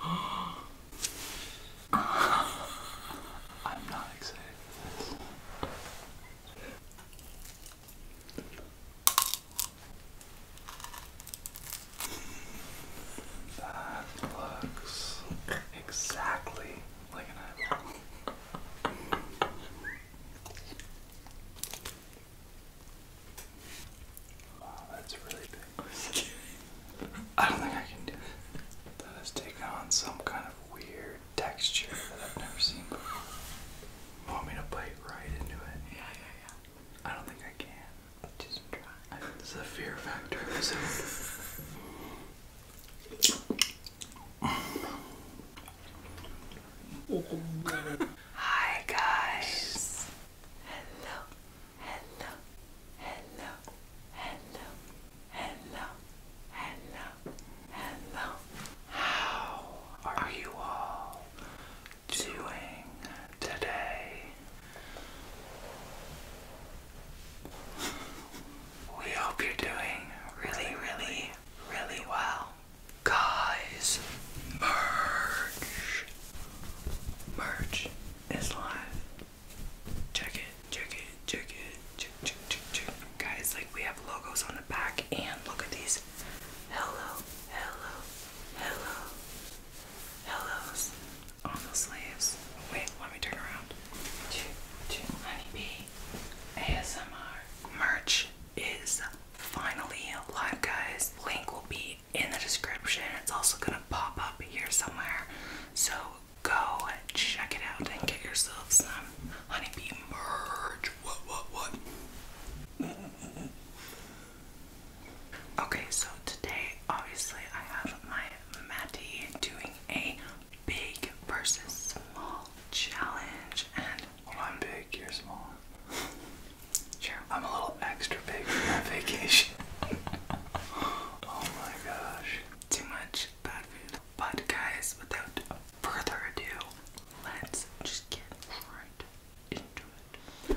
I'm not excited for this. That looks exactly like an eyeball. Wow, that's really big. I don't think I can do it. That has taken on some kind of weird texture that I've never seen before. You want me to bite right into it? Yeah, yeah, yeah. I don't think I can. Just try. I, this is a fear factor episode. Hi guys hello, hello, hello, hello, hello, hello, hello. How are you all doing today? We hope you're doing really, really, really well. Guys, merge Merch is live. Check it, check it, check it, check, check, check, check. Guys, like we have logos on the back and look at these. Hello, hello, hello, hellos on the sleeves. Wait, let me turn around. Honeybee ASMR merch is finally live, guys. Link will be in the description. It's also going to pop up here somewhere. So go check it out and get yourself some honeybee merch. What, what, what? Okay, so today, obviously, I have my Matty doing a big versus small challenge, and I'm big, you're small. I'm a little extra big for my vacation. oh my gosh. Too much bad food. But guys, without further ado, let's just get right into it.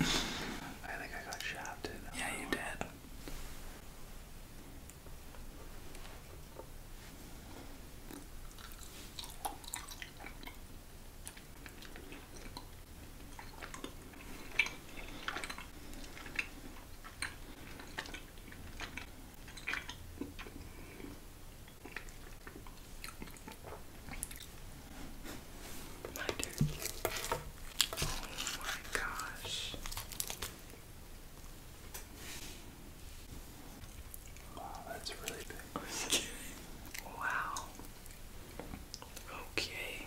I think I got shafted. Yeah, you did. Oh my turn. gosh. Wow, that's really big. Are Wow. Okay.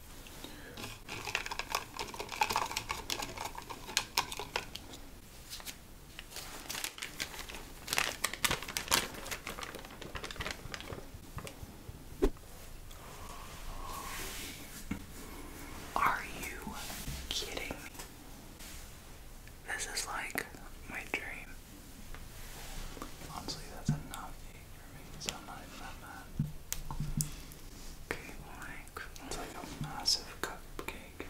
Are you kidding me? This is like my dream. Honestly, that's enough for me, so not even that mad. Okay, why it's like a massive cupcake.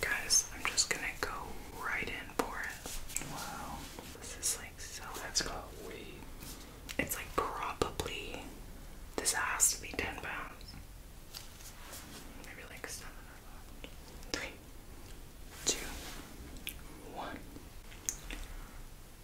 Guys, I'm just gonna go right in for it. Wow. This is like so That's heavy. got weight. It's like probably this has to be ten pounds. Maybe like seven or five. Three, two, one.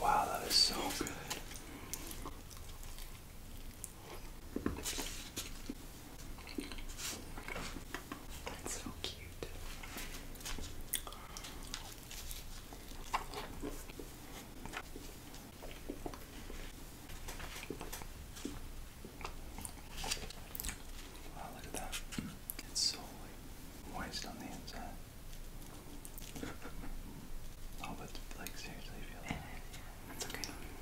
Wow, that is so good. That's so cute. Wow, look at that. It's so like moist on the inside. oh, but like seriously, feel that. That's okay.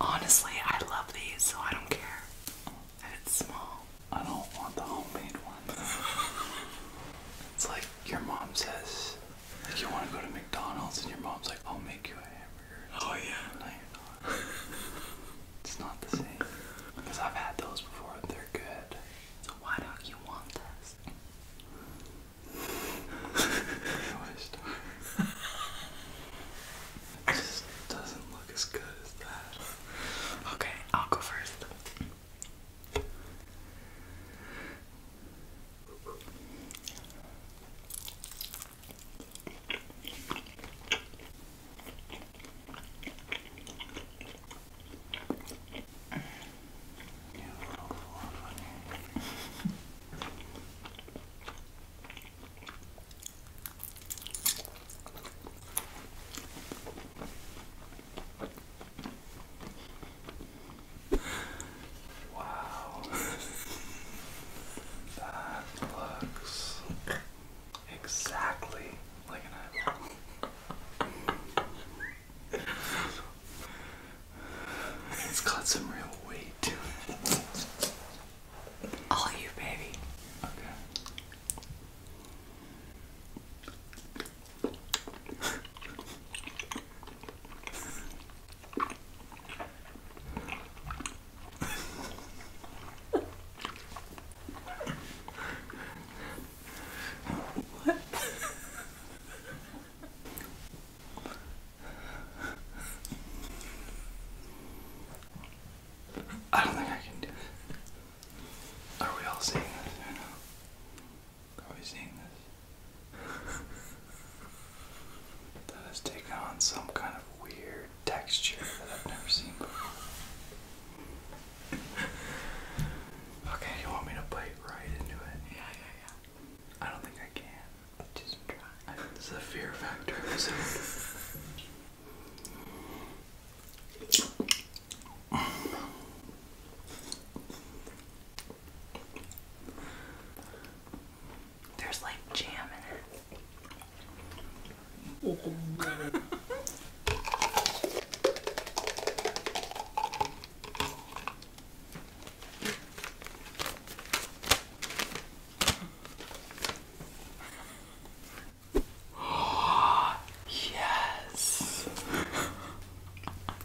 Honestly, I love these, so I don't care that it's small. I don't want the homemade ones. it's like your mom says, like you want to go to McDonald's, and your mom's like, I'll make you a hamburger. oh, yeah. No, you're not. it's not the same. Because I've had those before, they're good. So why don't you want this? it just doesn't look as good as that. Okay, I'll go first. Wow. that looks exactly like an eyeball. It's got some real weight to it. All you, baby. Okay. I don't think I can do it. Are we all seeing this right now? Are we seeing this? that has taken on some kind of weird texture that I've never seen before. okay, you want me to bite right into it? Yeah, yeah, yeah. I don't think I can. It's try. a fear factor episode. There's like jam in it. Oh, Oh, yes.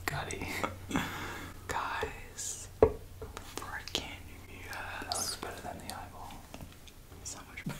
Got Guys. Freaking yes. That looks better than the eyeball. So much better.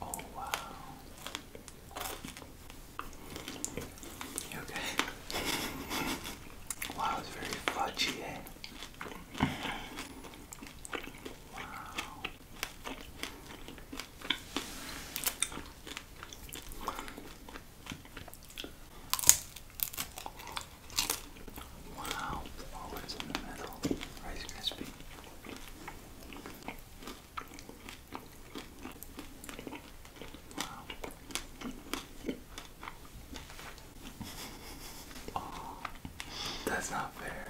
Oh wow. okay. Wow, it's very fudgy, eh? Wow. Wow, flowers in the middle, Rice Krispie that's not fair.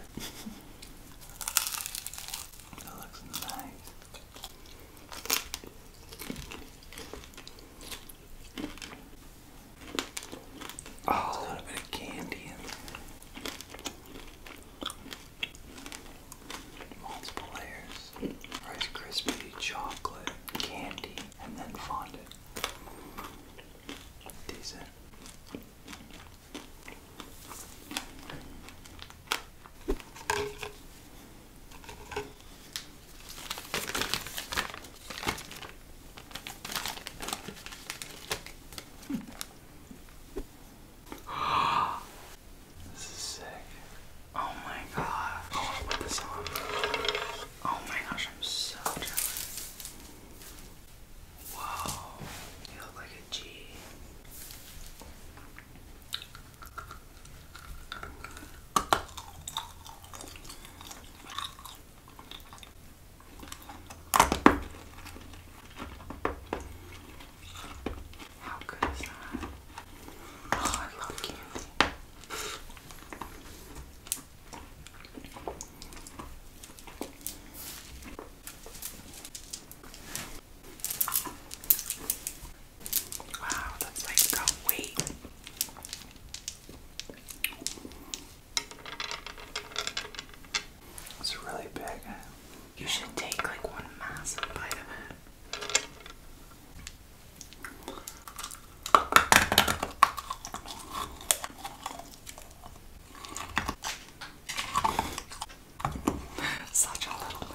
that looks nice. Oh, a little bit candy in there. Multiple layers. Rice Krispie, chocolate, candy, and then fondant. Decent. this is sick. Oh my god. Oh my gosh, I'm so jealous. Wow. You look like a G. How good is that? Oh, I love candy. Wow, that's like a weight. It's really big. You should take like one massive bite of it. Such a little milk.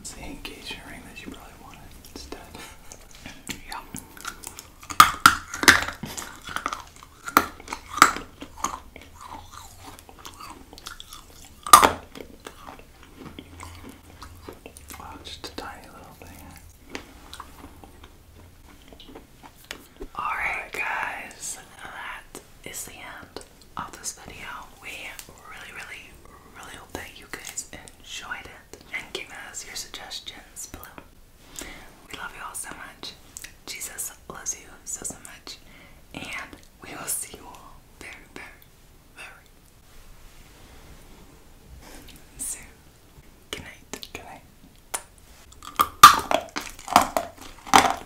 It's the engagement ring that you probably wanted instead. yeah. Wow, just a tiny little thing. Alright, guys, that is the end of this video. We really, really, really hope that you guys enjoyed it and give us your suggestions below. We love you all so much. Jesus loves you so, so much. And we will see you all very, very, very soon. Good night. Good night.